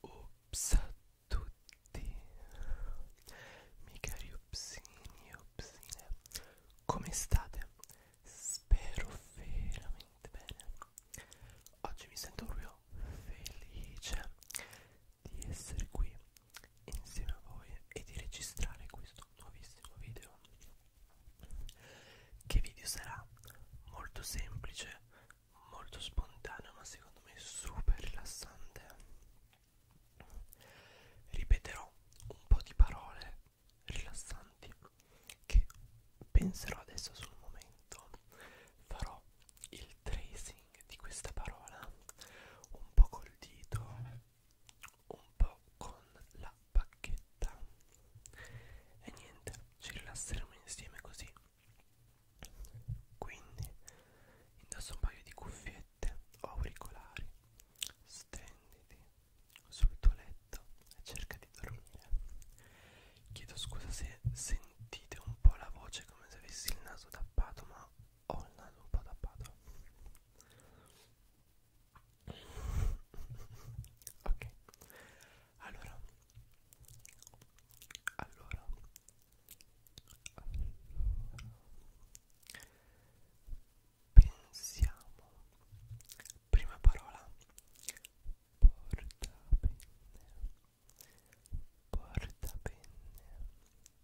Ups a tutti, miei cari upsini e upsine, come state? Spero veramente bene. Oggi mi sento proprio felice di essere qui insieme a voi e di registrare questo nuovissimo video che video sarà molto semplice molto spontaneo ma secondo me super rilassante ripeterò un po' di parole rilassanti che penserò adesso sul momento farò il tracing di questa parola un po' col dito un po' con la bacchetta e niente ci rilasseremo insieme così quindi indosso un paio di cuffiette o auricolari stenditi sul tuo letto e cerca di dormire chiedo scusa se sentite un po' la voce come se avessi il naso tappato ma ho oh, il naso un po' tappato ok allora allora pensiamo prima parola portapenne portapenne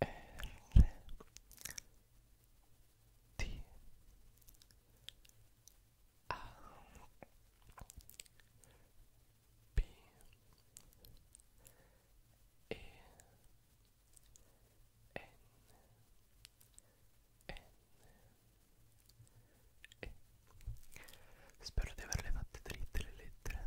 R T A P E N N E Spero di averle fatte dritte le lettere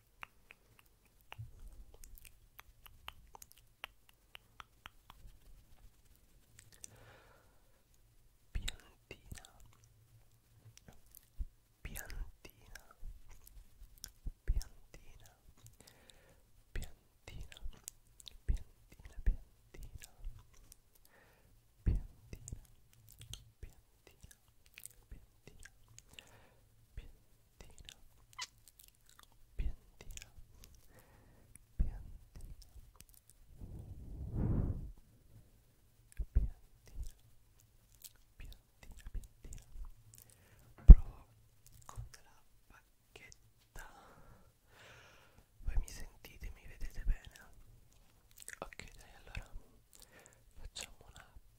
Piantina, piantina, piantina, piantina, piantina, piantina, piantina, piantina, piantina, piantina, piantina, piantina, piantina, piantina, piantina. Provo con della bacchetta. Voi mi sentite, mi vedete bene? Ok, dai, allora facciamo una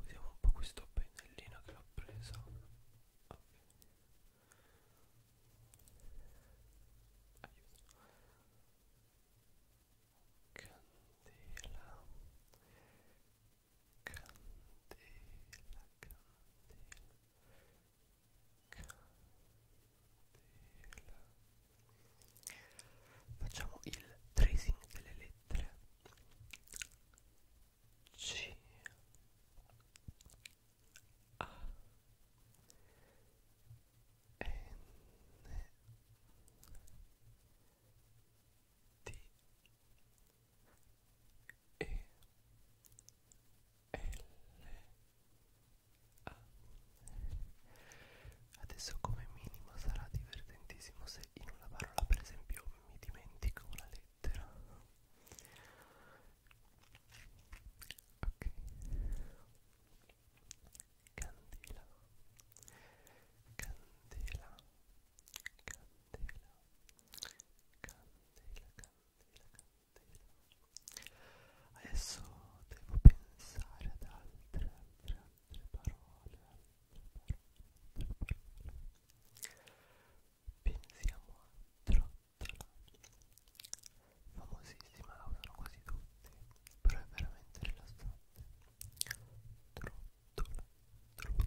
Usiamo un po' questo pennellino che l'ho preso. Okay. Aiuto. Candela. Candela, candela. Candela. Facciamo il tracing delle lettere C A N T E L ah. Adesso come minimo sarà divertentissimo se in una parola per esempio mi dimentico una lettera Ok Candela Candela Candela Candela Candela Candela Adesso devo pensare ad altre, altre, parola, tre Pensiamo a Famosissima, la usano quasi tutti, però è veramente rilassante. Trottola,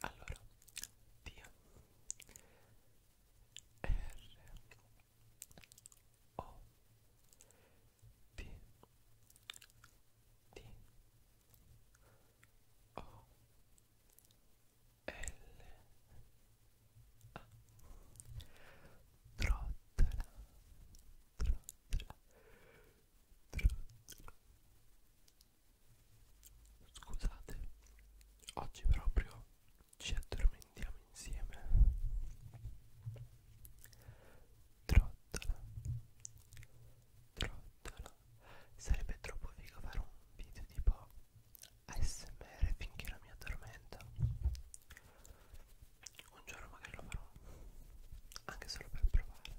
allora D R O D D O L A Trottola Trottola Trottola Scusate, oggi proprio ci addormentiamo insieme. Trottola, trottola. Sarebbe troppo figo fare un video tipo ASMR finché la mia addormenta. Un giorno magari lo farò, anche solo per provare.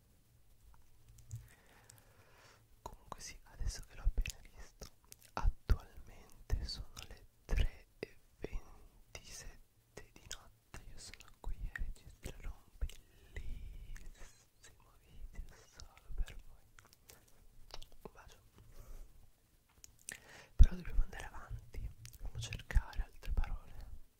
comunque sì adesso che l'ho appena visto attualmente sono le 3.27 di notte io sono qui a registrare un bellissimo video solo per voi un bacio però dobbiamo andare avanti dobbiamo cercare altre parole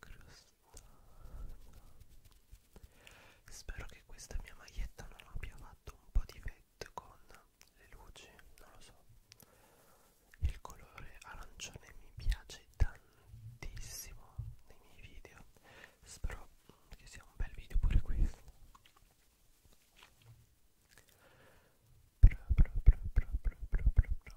crostata spero che questa mia maglietta non abbia fatto un po' di vetto con le luci non lo so il colore arancione mi piace tantissimo nei miei video spero che sia un bel video pure questo Bra, bra, bra, bra, bra, bra, bra, bra.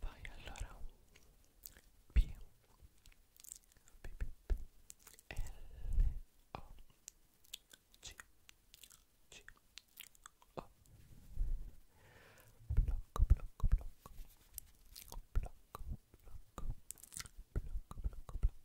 Vai allora P B O blocco blocco blocco blocco blocco blocco blocco blocco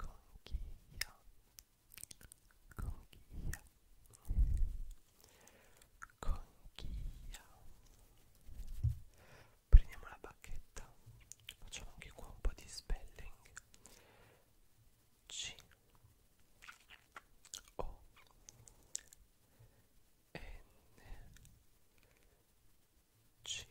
conchiglia conchiglia conchiglia prendiamo la bacchetta facciamo anche qua un po' di spelling c o n c h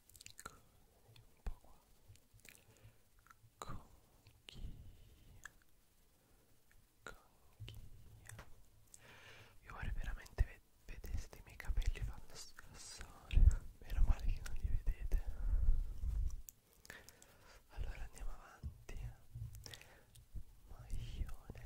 un po' qua conchiglia conchiglia io vorrei veramente ved vedeste i miei capelli fanno scassare meno male che non li vedete allora andiamo avanti maglione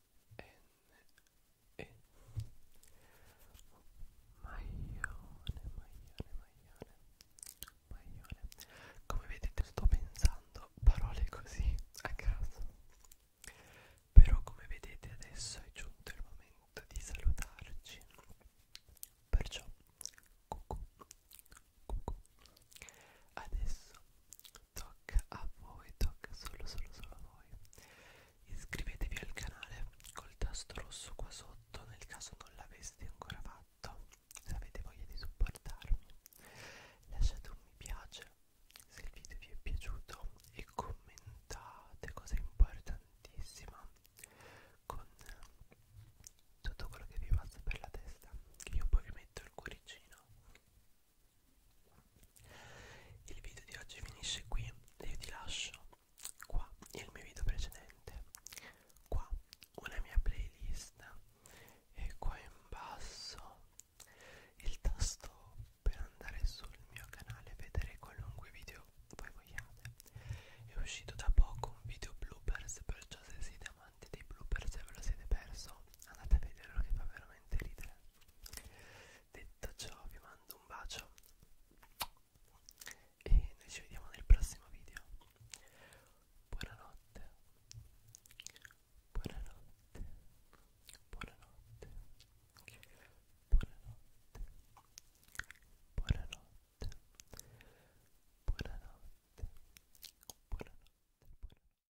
N E Maglione, maglione, maglione Maglione Come vedete sto pensando parole così a caso Però come vedete adesso è giunto il momento di salutarci Perciò cucù, cucù. Adesso tocca a voi, tocca solo solo solo a voi. Iscrivetevi al canale col tasto rosso qua sotto nel caso non l'aveste ancora fatto, se avete voglia di supportarmi. Lasciate un mi piace se il video vi è piaciuto e commentate, cosa importantissima, con tutto quello che vi passa per la testa, che io poi vi metto il cuoricino il video di oggi finisce qui e io ti lascio qua il mio video precedente, qua una mia playlist e qua in basso il tasto per andare sul mio canale e vedere qualunque video voi vogliate. È uscito da poco un video bloopers, perciò se siete amanti dei bloopers e ve lo siete perso, andate a vederlo che fa veramente ridere. Detto ciò vi mando un bacio e noi ci vediamo nel prossimo video. Buonanotte. Buonanotte. Buonanotte. Buonanotte. Buonanotte. Buonanotte. Buonanotte. Buonanotte.